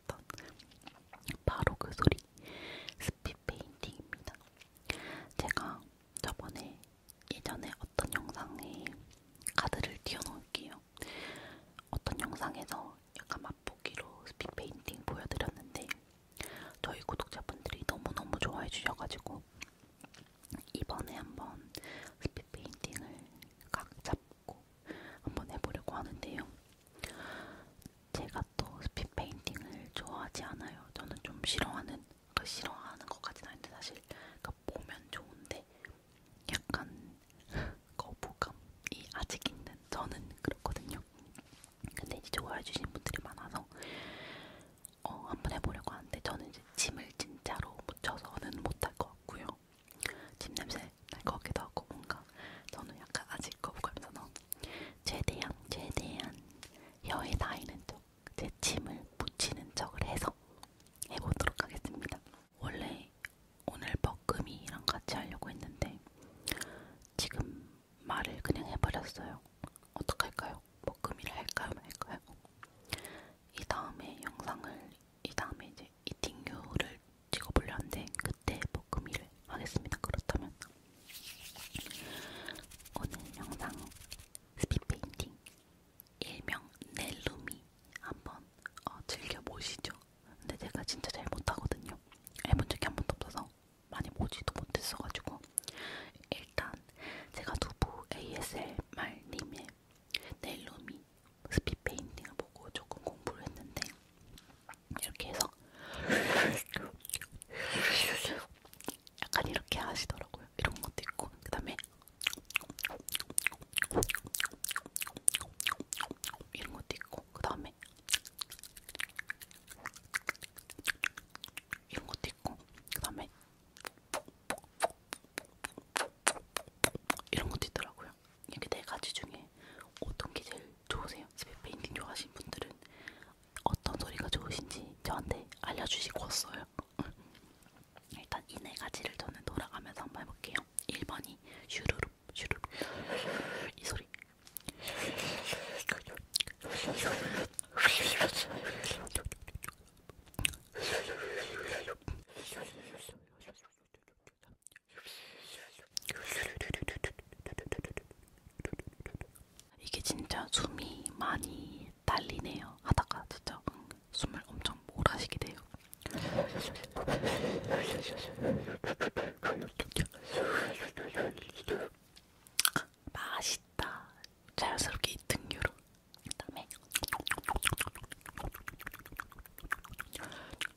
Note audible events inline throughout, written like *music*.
했던 바로 그 소리 스피 페인팅입니다. 제가 저번에 예전에 어떤 영상에 카드를 띄워놓을게요. 어떤 영상에서 약간 맛보기로 스피 페인팅 보여드렸는데 저희 구독자분들이 너무너무 좋아해 주셔가지고 이번에 한번 스피 페인팅을 각잡 싶고 한번 해보려고 하는데요. 제가 또 스피드 페인팅을 좋아하지 않아요. 저는 좀 싫어하는, 그 싫어하는 것까지는 아닌데 사실 그 보면 좋은데 약간 *laughs* 거부감이 아직 있는 저는 그렇거든요. 근데 이제 좋아해주신 분들이 많아서 어, 한번 해보려고 하는데 저는 이제 짐을 진짜로 묻혀서는 못할 것 같고요. 집 냄새 날것 같기도 하고 뭔가 저는 약간 아직 거부감에서 최대한 최대한 혀에 닿이는 쪽제 침을 묻히는 척을 해서 해보도록 하겠습니다. 원래 오늘 먹금이랑 같이 하려고 했는데 지금 말을 그냥 해버렸어요. 어떡할까요? 먹금이를 할까요? 말까요? 이 다음에 영상을 이 다음에 이제 이팅류를 찍어보려 한데 그때 볶음이를 뭐 하겠습니다. 그렇다면 오늘 영상 스피페인팅 일명 넬루미 한번 어, 즐겨보시죠. 근데 제가 진짜 잘 못하거든요. 해본 적이 한 번도 없어서 많이 보지도 못했어가지고 일단 제가 두부 ASMR님의 넬루미 스피 페인팅을 보고 조금 공부를 했는데 이렇게 해서 약간 이렇게 하시더라고요. 이런 것도 있고 그 다음에 이런 것도 있고 그 다음에 이런 것도 있고 그 다음에 이런 것도 있더라고요. 이렇게 네 가지 중에 어떤 게 제일 좋으세요? 집에 페인팅 좋아하시는 분들은 어떤 소리가 좋으신지 저한테 알려주시고 왔어요. *laughs* 일단 이 네 가지를 저는 돌아가면서 한번 해볼게요. 1번이 슈루룩 슈루룩 이 소리. 이게 진짜 숨이 많이 딸리네요. 하다가 진짜 숨을 엄청 몰아쉬게 돼요. 맛있다. 자연스럽게 2등 유로. 그다음에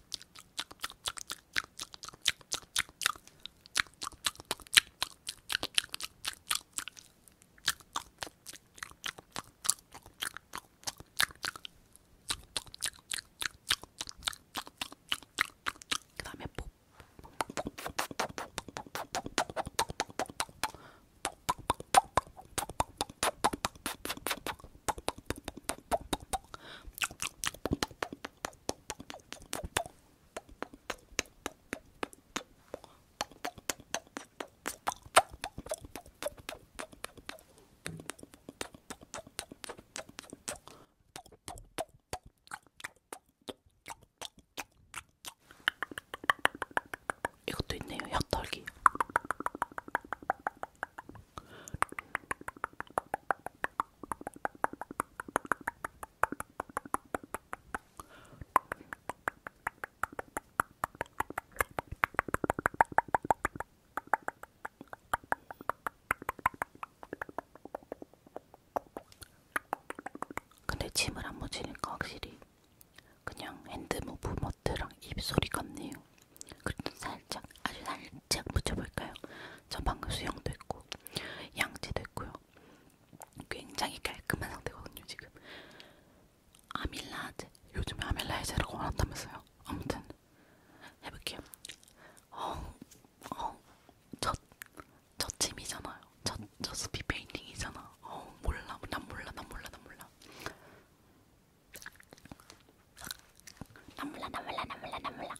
그 다음에 뽀 이것도 있네요. 혓털기. 근데 침을 안 묻히니까 확실히 그냥 핸드 무브먼트랑 입소리 같네요. 그래도 살짝 아주 살짝 묻혀볼까요? 저 방금 수영도 했고 양치도 했고요. 굉장히 깔끔한 상태거든요 지금. 아밀라제 요즘에 아밀라제라고 많았다면서요. 아무튼 해볼게요. 어, 어, 저, 저 침이잖아요. 저, 저 스피 페인팅이잖아. 어, 몰라, 난 몰라, 난 몰라, 난 몰라. 나 몰라 나 몰라 나 몰라 나 몰라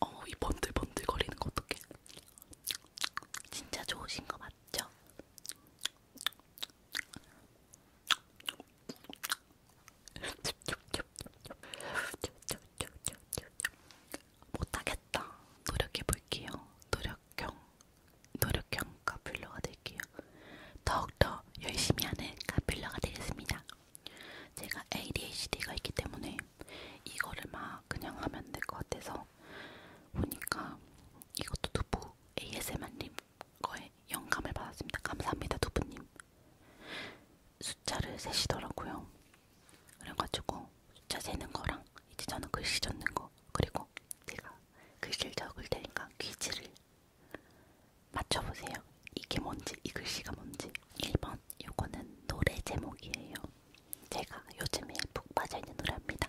어이 번들번들 거리는 거 어떡해 진짜 좋으신 거 맞죠? 못하겠다 노력해볼게요 노력형 노력형 카필러가 될게요. 더욱더 열심히 하는 카필러가 되겠습니다. 제가 ADHD가 있기 때문에 이거를 막 그냥 하면 될 것 같아서 보니까 이것도 두부 ASMR님 거에 영감을 받았습니다. 감사합니다 두부님. 숫자를 세시더라고요. 그래가지고 숫자 세는 거랑 이제 저는 글씨 적는 거 그리고 제가 글씨를 적을 테니까 퀴즈를 맞춰보세요. 이게 뭔지 이 글씨가 뭔지 1번 요거는 노래 제목이에요. 제가 요즘에 푹 빠져있는 노래입니다.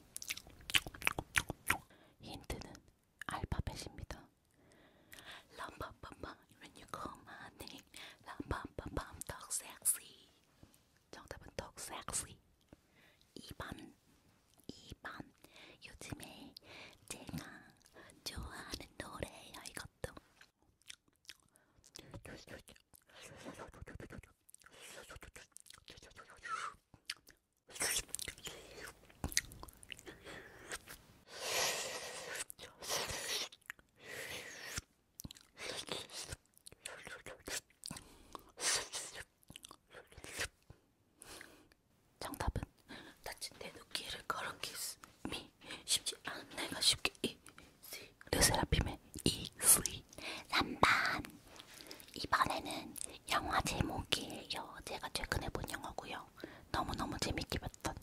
힌트는 알파벳입니다. 람밤밤밤 when you call my name 람밤밤밤 dog sexy 정답은 dog sexy 2번 2번 요즘에 제가 좋아하는 노래예요 이것도 *laughs* 정답은 다친 내 눈길을 걸은 키스 미 쉽지 않은 내가 쉽게 이 레세라핌의 이수인 3번 이번에는 영화 제목이에요. 제가 최근에 본 영화고요. 너무너무 재밌게 봤던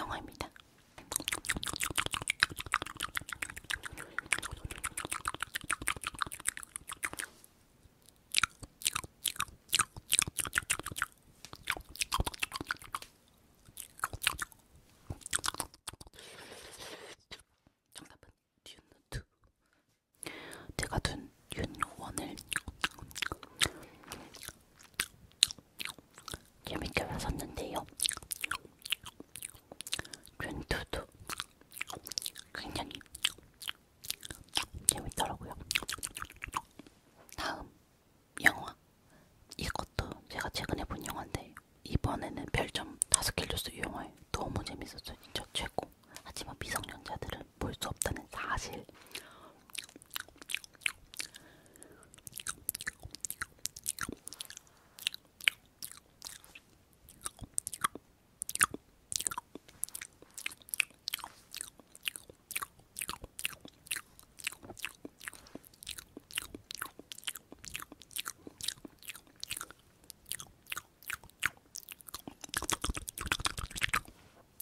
영화입니다. 정답은 듀누트 제가 둔 윤원을 재밌게 봤었는데요. 윤두도 굉장히 재밌더라고요. 다음 영화 이것도 제가 최근에 본 영화인데 재밌었어요. 이번에는 별점 5개 줬어요. 이 영화에 너무 재밌었어요. 진짜 최고. 하지만 미성년자들은 볼 수 없다는 사실.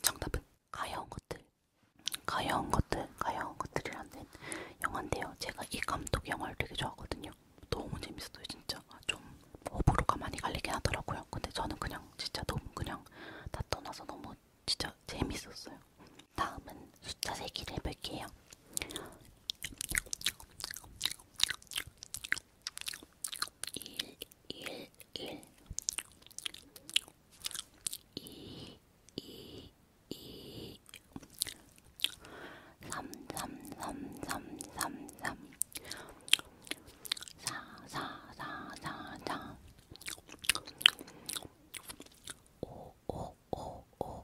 정답은 가여운 것들. 가여운 것들, 가여운 것들이라는 영화인데요. 제가 이 감독 영화를 되게 좋아하거든요. 너무 재밌었어요, 진짜. 좀 호불호가 많이 갈리긴 하더라고요. 근데 저는 그냥 진짜 너무 그냥 다 떠나서 너무 진짜 재밌었어요. 다음은 숫자 세기를 해볼게요. 일, 일, 일, 이, 이, 이, 삼, 삼, 삼, 삼, 삼, 삼, 사, 사, 사, 사, 사, 오, 오, 오, 오,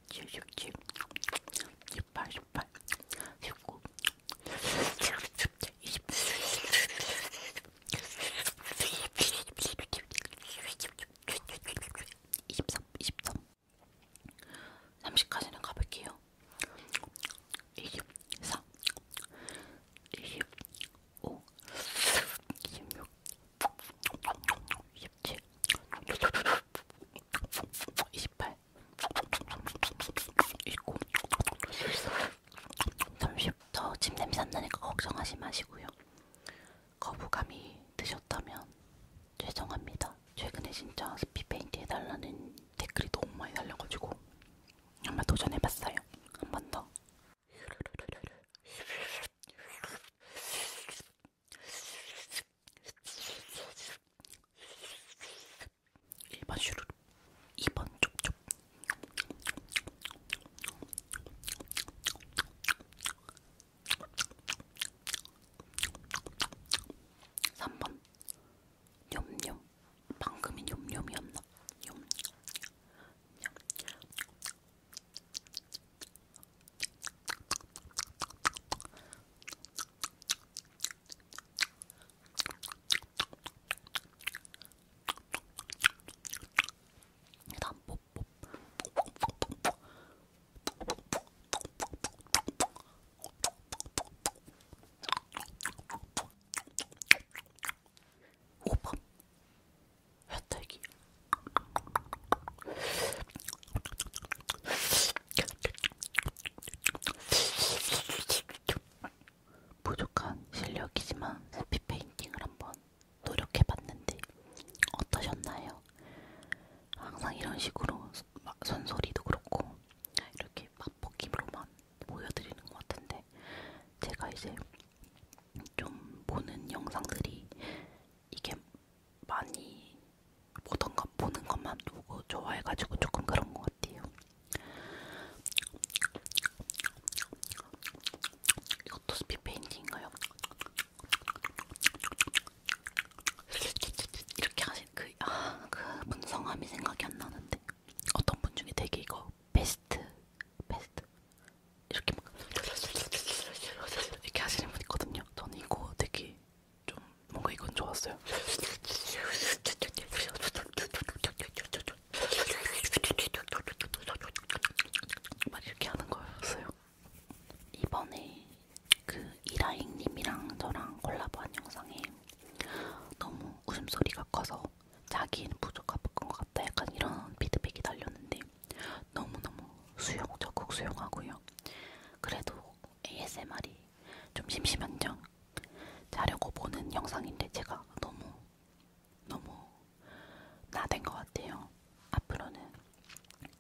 십칠, 십칠, 십팔, 십팔, 십구, 이십, 이십삼, 이십삼, 삼십까지는 가볼게요. 이십사, 이십오, 이십육, 이십칠. 28, 있고 30도 침 냄새 안 나니까 걱정하지 마시고요. 거부감이 드셨다면 죄송합니다. 최근에 진짜 스피 페인트 해달라는 댓글이 너무 많이 달려가지고 한번 도전해봤어요. 한 번 더. 1번 슈루룩 2번 쪽쪽 3번 냠냠 방금이 냠냠이었나? 냠냠 냠냠 일단 뽀뽀 호박 혜택이 부족한 실력이지만 스피 페인팅을 한번 노력해봤는데 어떠셨나요? 항상 이런 식으로 손소리도 그렇고 이렇게 맛보기로만 보여드리는 것 같은데 제가 이제 좀 보는 영상들이 이게 많이 보던 것 보는 것만 보고 좋아해가지고 조금 그런 것 같아요. 이것도 스피 페인팅인가요? 이렇게 하신 그, 아, 그 문성함이 생각이 안 나는데 어떤 분 중에 되게 이거 베스트 베스트 이렇게 막 이렇게 하시는 분 있거든요. 저는 이거 되게 좀 뭔가 이건 좋았어요. 막 이렇게 하는 거였어요. 이번에 그 이라잉님이랑 저랑 콜라보한 영상에 너무 웃음소리가 커서 자기는 부족한 것 같다 약간 이런 피드백이 달렸는데 너무너무 수용적극 수용하고요. 그래도 ASMR이 좀 심심한 점 자려고 보는 영상인데 제가 너무 너무 나댄 것 같아요. 앞으로는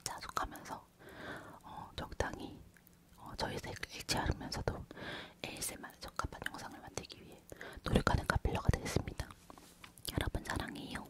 자숙하면서 어, 적당히 어, 저희색 일치하면서도 ASMR 적합한 영상을 만들기 위해 노력하는 카필러가 되겠습니다. 여러분 사랑해요.